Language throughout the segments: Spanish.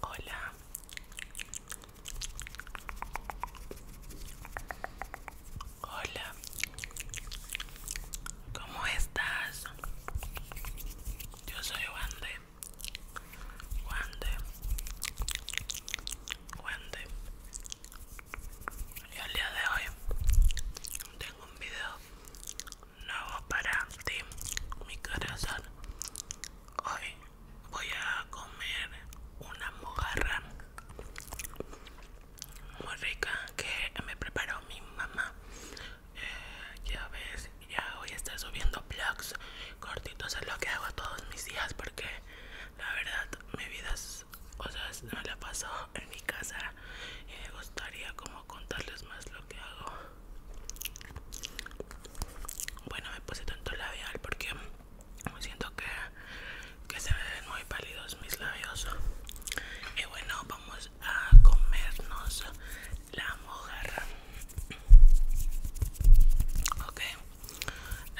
Hola. Hola. ¿Cómo estás? Yo soy Wande. Wande. Wande. Y al día de hoy tengo un video nuevo para ti, mi corazón. Hoy voy a comer una mojarra muy rica que me preparó mi mamá. Eh, ya ves, ya hoy estar subiendo vlogs cortitos, es lo que hago todos mis días porque la verdad mi vida es, o sea, la paso en mi casa y me gustaría como contarles más lo que hago bueno, me puse tanto labial porque me siento que, que se ven muy pálidos mis labios. Y bueno, vamos a comernos la mujer Ok,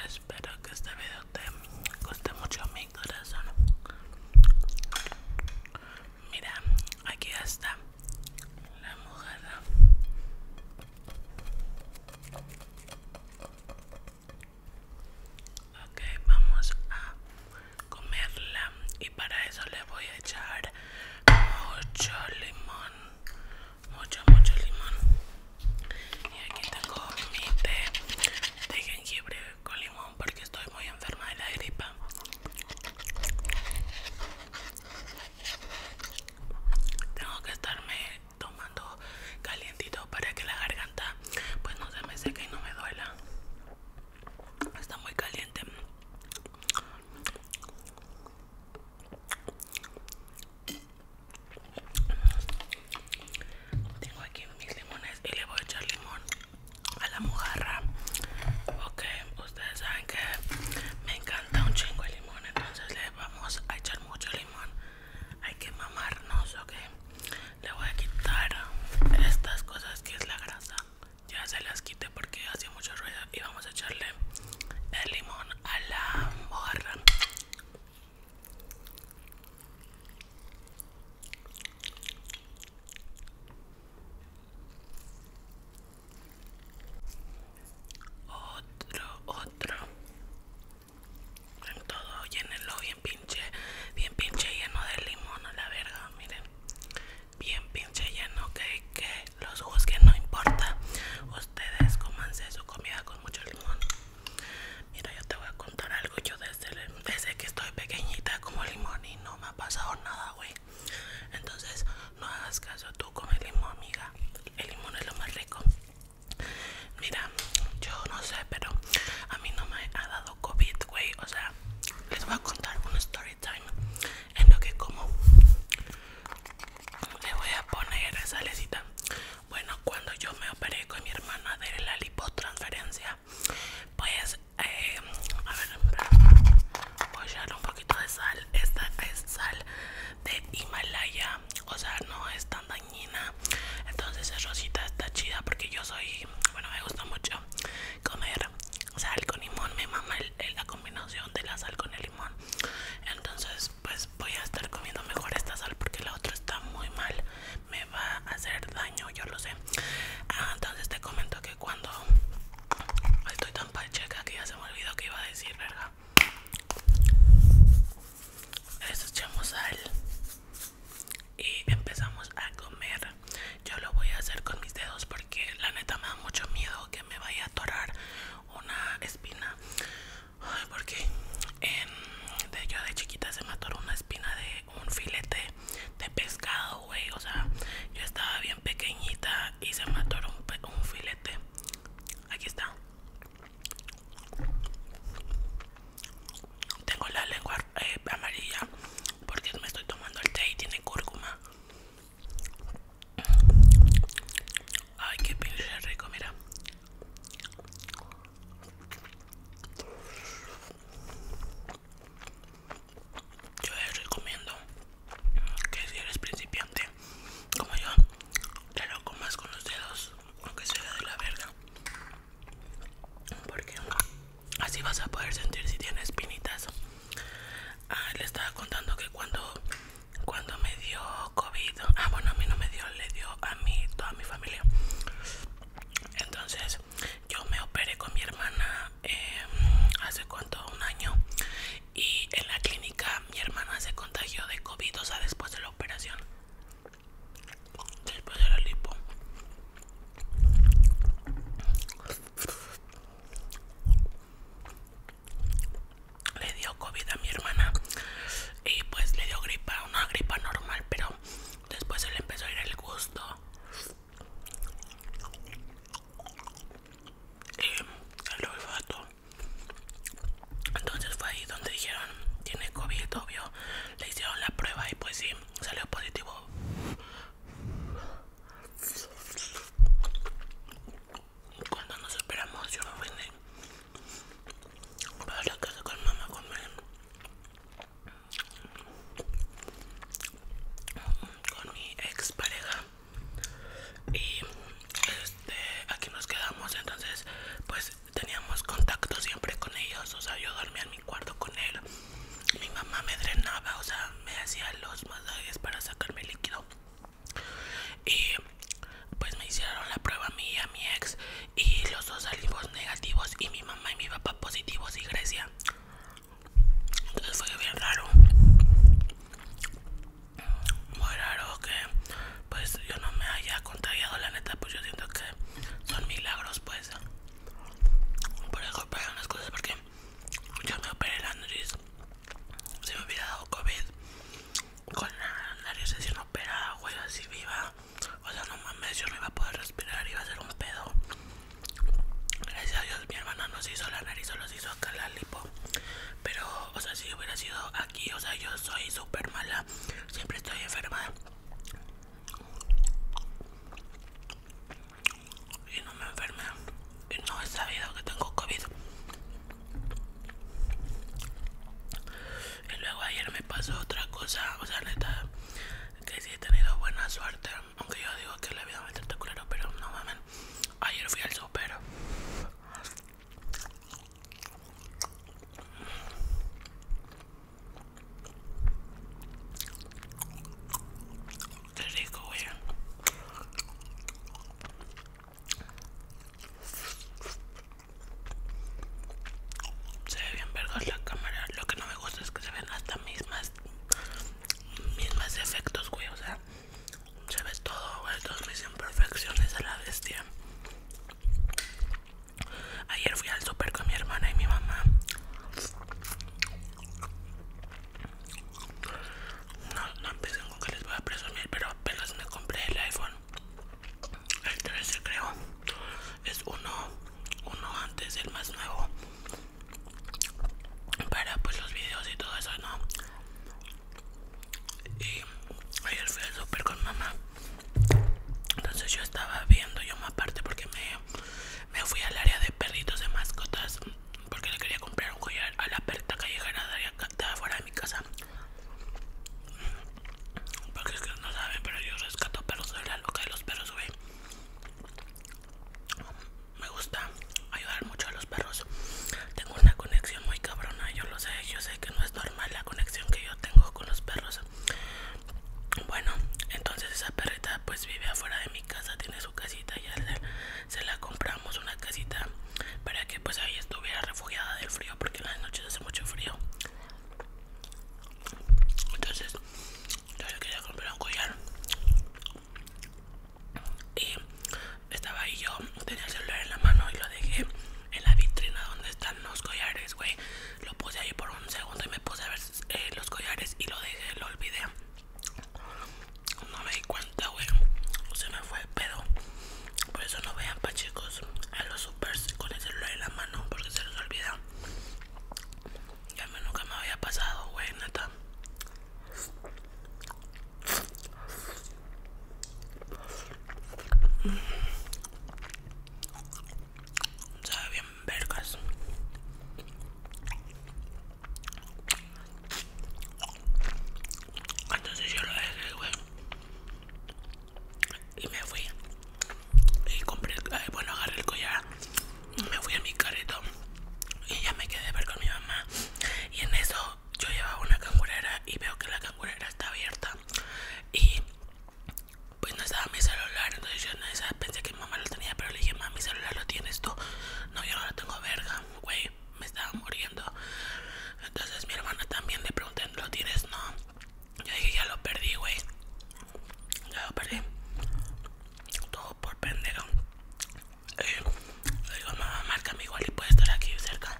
espero que este video te guste mucho mi corazón. Mira, aquí ya está la mojada. Ok, vamos a comerla y para eso le voy a echar mucho limón, mucho, mucho limón. Y aquí tengo mi té de jengibre con limón porque estoy muy enferma de la gripa. Tengo que estarme tomando calientito para que la garganta pues no se me seque y no me duela. Está muy caliente. Tengo aquí mis limones y le voy a echar limón a la mojarra ok ustedes saben que me encanta un chingo el limón entonces le vamos a echar mucho limón hay que mamarnos ok le voy a quitar estas cosas que es la grasa ya se las quité porque hacía mucho ruido y vamos a echarle el limón a la mojarra otro, otro. En todo llenenlo bien pinche, bien pinche lleno de limón a la verga, miren. Bien pinche lleno, que, que los ojos que no importa. Ustedes comanse su comida con mucho limón. Mira, yo te voy a contar algo. Yo desde, desde que estoy pequeñita como limón y no me ha pasado nada, güey. Entonces, no hagas caso tú con el limón, amiga. El limón es lo más rico. Mira, yo no sé, pero a mí no me ha dado COVID, güey. O sea, les voy a contar un story time en lo que como. Le voy a poner esa lecita Bueno, cuando yo me operé con mi hermana de la lipotransferencia, pues eh, a ver voy a echarle un poquito de sal esta es sal de Himalaya o sea no es tan dañina entonces es rosita está chida porque yo soy bueno me gusta mucho comer sal con limón me mamá la combinación de la sal con el limón entonces pues voy a estar comiendo mejor esta sal porque la otra está muy mal me va a hacer daño yo lo sé ah, entonces te comento que cuando estoy tan pacheca que ya se me olvidó que iba a decir, verga. Les echamos sal y empezamos a comer. Yo lo voy a hacer con mis dedos porque la neta me da mucho miedo que me vaya a atorar una espina. Ay, porque de, yo de chiquita se me atoró una espina de un filete de pescado o sea, yo estaba bien pequeñita y se me atoró un, filete. Aquí está. Tengo la lengua eh, amarilla porque me estoy tomando el té y tiene cúrcuma. Ay, qué pinche rico, mira yo les recomiendo que si eres principiante como yo, te lo comas con los dedos, aunque sea de la verga. Porque así vas a poder sentir si tienes espinitas. Ah, le estaba contando que cuando, cuando me dio COVID, ah, bueno, a mí no me dio, le dio a mí, toda mi familia. Entonces, yo me operé con mi hermana em, hace cuánto, un año y en la clínica mi hermana se contagió de COVID, o después de la operación, después de la lipo. Le dio COVID a mi hermana y pues le dio gripa, una gripa normal, pero después se le empezó a ir el gusto y eh, el olfato. Entonces fue ahí donde dijeron, tiene COVID, obvio. Le hicieron la prueba y pues sí, salió positivo. Cuando nos esperamos, yo me ofendí. Para la casa con mamá, con con mi ex pareja y este, aquí nos quedamos entonces pues teníamos contacto siempre con ellos o sea yo dormía en mi cuarto con él mi mamá me drenaba o sea me hacía los masajes para sacarme líquido y pues me hicieron la prueba a mí y a mi ex y los dos salimos negativos y mi mamá y mi papá positivos y Grecia entonces fue bien raro. Muy raro que pues yo no me haya contagiado la neta, pues yo siento que son milagros pues. Por eso pasan las cosas porque yo me operé el nariz. Si me hubiera dado COVID con la nariz no operada, güey, así viva. O sea, no mames, yo no iba a poder respirar, iba a ser un pedo. Gracias a Dios mi hermana nos hizo la nariz, solo hizo acá la lipo. Pero, o sea, si hubiera sido aquí, o sea, yo soy súper mala. Siempre estoy enferma. Y no me enfermé. Y no he sabido que tengo COVID. Y luego ayer me pasó otra cosa. O sea, neta, que sí he tenido buena suerte aunque yo digo que la vida me está culero, pero no mames Ayer fui al super. Qué rico, güey. Se ve bien vergas la cámara. Lo que no me gusta es que se vean hasta mismas mismas efectos, güey, o sea, se ve todo, güey, todas mis imperfecciones a la bestia. Ayer fui al super con mi hermana y mi mamá. No, no empiecen con que les voy a presumir, pero apenas me compré el iPhone. El 13 creo. Es uno, uno antes, el más nuevo para pues los videos y todo eso no y ayer fui al super con mamá entonces yo estaba viendo yo más parte porque me, me fui al área de perritos de mascotas porque le quería comprar un collar a la perrita callejera de fuera de mi casa porque es no saben pero yo rescato perros de la loca de los perros güey me gusta ayudar mucho a los perros. Tengo una conexión muy cabrona, yo lo sé, yo sé que no es normal la conexión que yo tengo con los perros. Bueno, entonces esa perrita pues vive afuera de mi casa, tiene su casita, ya se, la compramos una casita para que pues ahí estuviera refugiada del frío porque en las noches hace mucho frío. Entonces, yo le quería comprar un collar y estaba ahí yo tenía el celular en la mano y lo dejé en la vitrina donde están los collares güey lo puse ahí por un segundo y me puse a ver eh, los collares y lo dejé lo olvidé no me di cuenta güey se me fue el pedo por eso no vean pa chicos a los supers con el celular en la mano porque se los olvida ya me nunca me había pasado, güey, neta. Sabe bien vergas. Entonces yo lo dejé, güey. Y me fui. Y compré, bueno, agarré el collar me fui a mi carrito y ya me quedé a ver con mi mamá. Y en eso yo llevaba una cangurera y veo que la cangurera está abierta. Y pues no estaba mi celular, entonces yo pensé que mi mamá lo tenía, pero le dije, mamá, mi celular lo tienes tú. No, yo no lo tengo, verga, güey, me estaba muriendo. Entonces mi hermana también le pregunté, ¿lo tienes? No. Yo dije, ya lo perdí, güey. Ya lo perdí todo por pendejo. Eh, le digo, mamá, márcame igual y puede estar aquí cerca.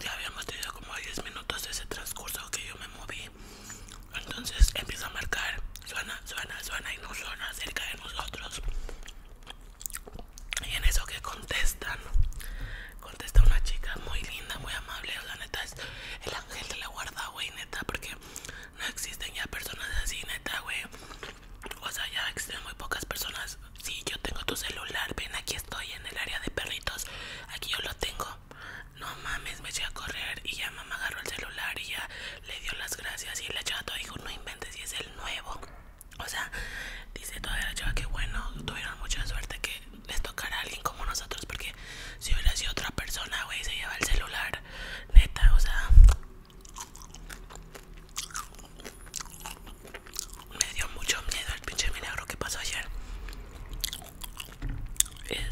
Ya habíamos tenido como 10 minutos de ese transcurso que yo me moví. Entonces empiezo a marcar. Suena, suena, suena y no suena cerca de nosotros. Y en eso que contestan, contesta una chica muy linda, muy amable. La neta es el ángel de la guarda, güey, neta, porque no existen ya personas así, neta, güey. O sea, ya existen muy pocas personas. Sí, yo tengo tu celular, ven, aquí estoy en el área de perritos. Aquí yo lo tengo. No mames, me eché a correr y ya mamá agarró el celular y ya le dio las gracias. Y la chava dijo, no inventes, y es el nuevo. O sea, dice toda la chava que bueno, tuvieron mucha suerte que les tocara a alguien como nosotros. Porque si hubiera sido otra persona, güey, se lleva el celular. Neta, o sea, me dio mucho miedo el pinche milagro que pasó ayer.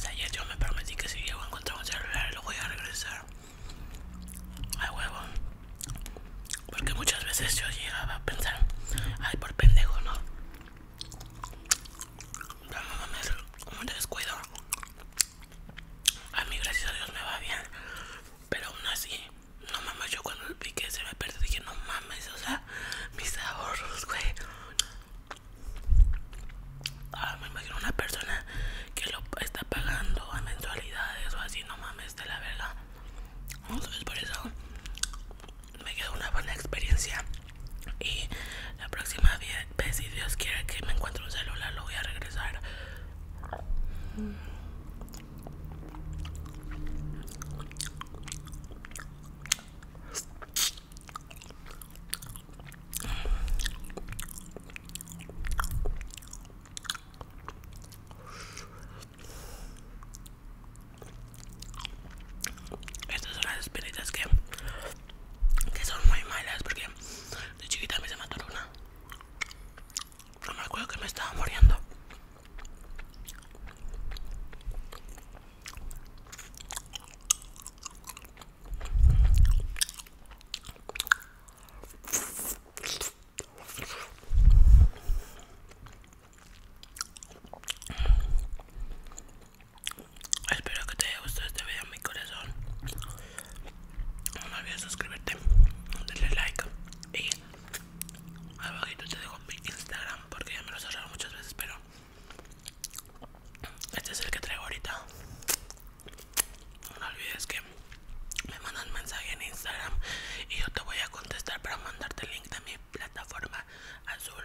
ayer yo me prometí que si llego a encontrar un celular lo voy a regresar. Ay huevo. Porque muchas veces yo llegaba a pensar, ay por pendejo, ¿no? Pero a meter un descuido. A mí, gracias a Dios, me va bien. Pero aún así, no mames, yo cuando el pique se me perdió dije, no mames, o sea, mis ahorros, güey. Ah, me imagino una persona que lo está pagando a mensualidades o así, no mames, de la verga. Entonces, por eso me quedó una buena experiencia. Y la próxima pues, si Dios quiere que me encuentre un celular lo voy a regresar estas son las espiritas que, que son muy malas porque de chiquita me se mataron una no me acuerdo que me estaba muriendo. Espero que te haya gustado este video, mi corazón. No olvides suscribirte, darle like y abajito te dejo mi Instagram porque ya me lo he cerrado muchas veces, pero este es el que traigo ahorita. No olvides que me mandan mensaje en Instagram y yo te voy a contestar para mandarte el link de mi plataforma azul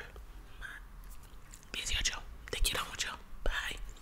18. Te quiero mucho. Bye.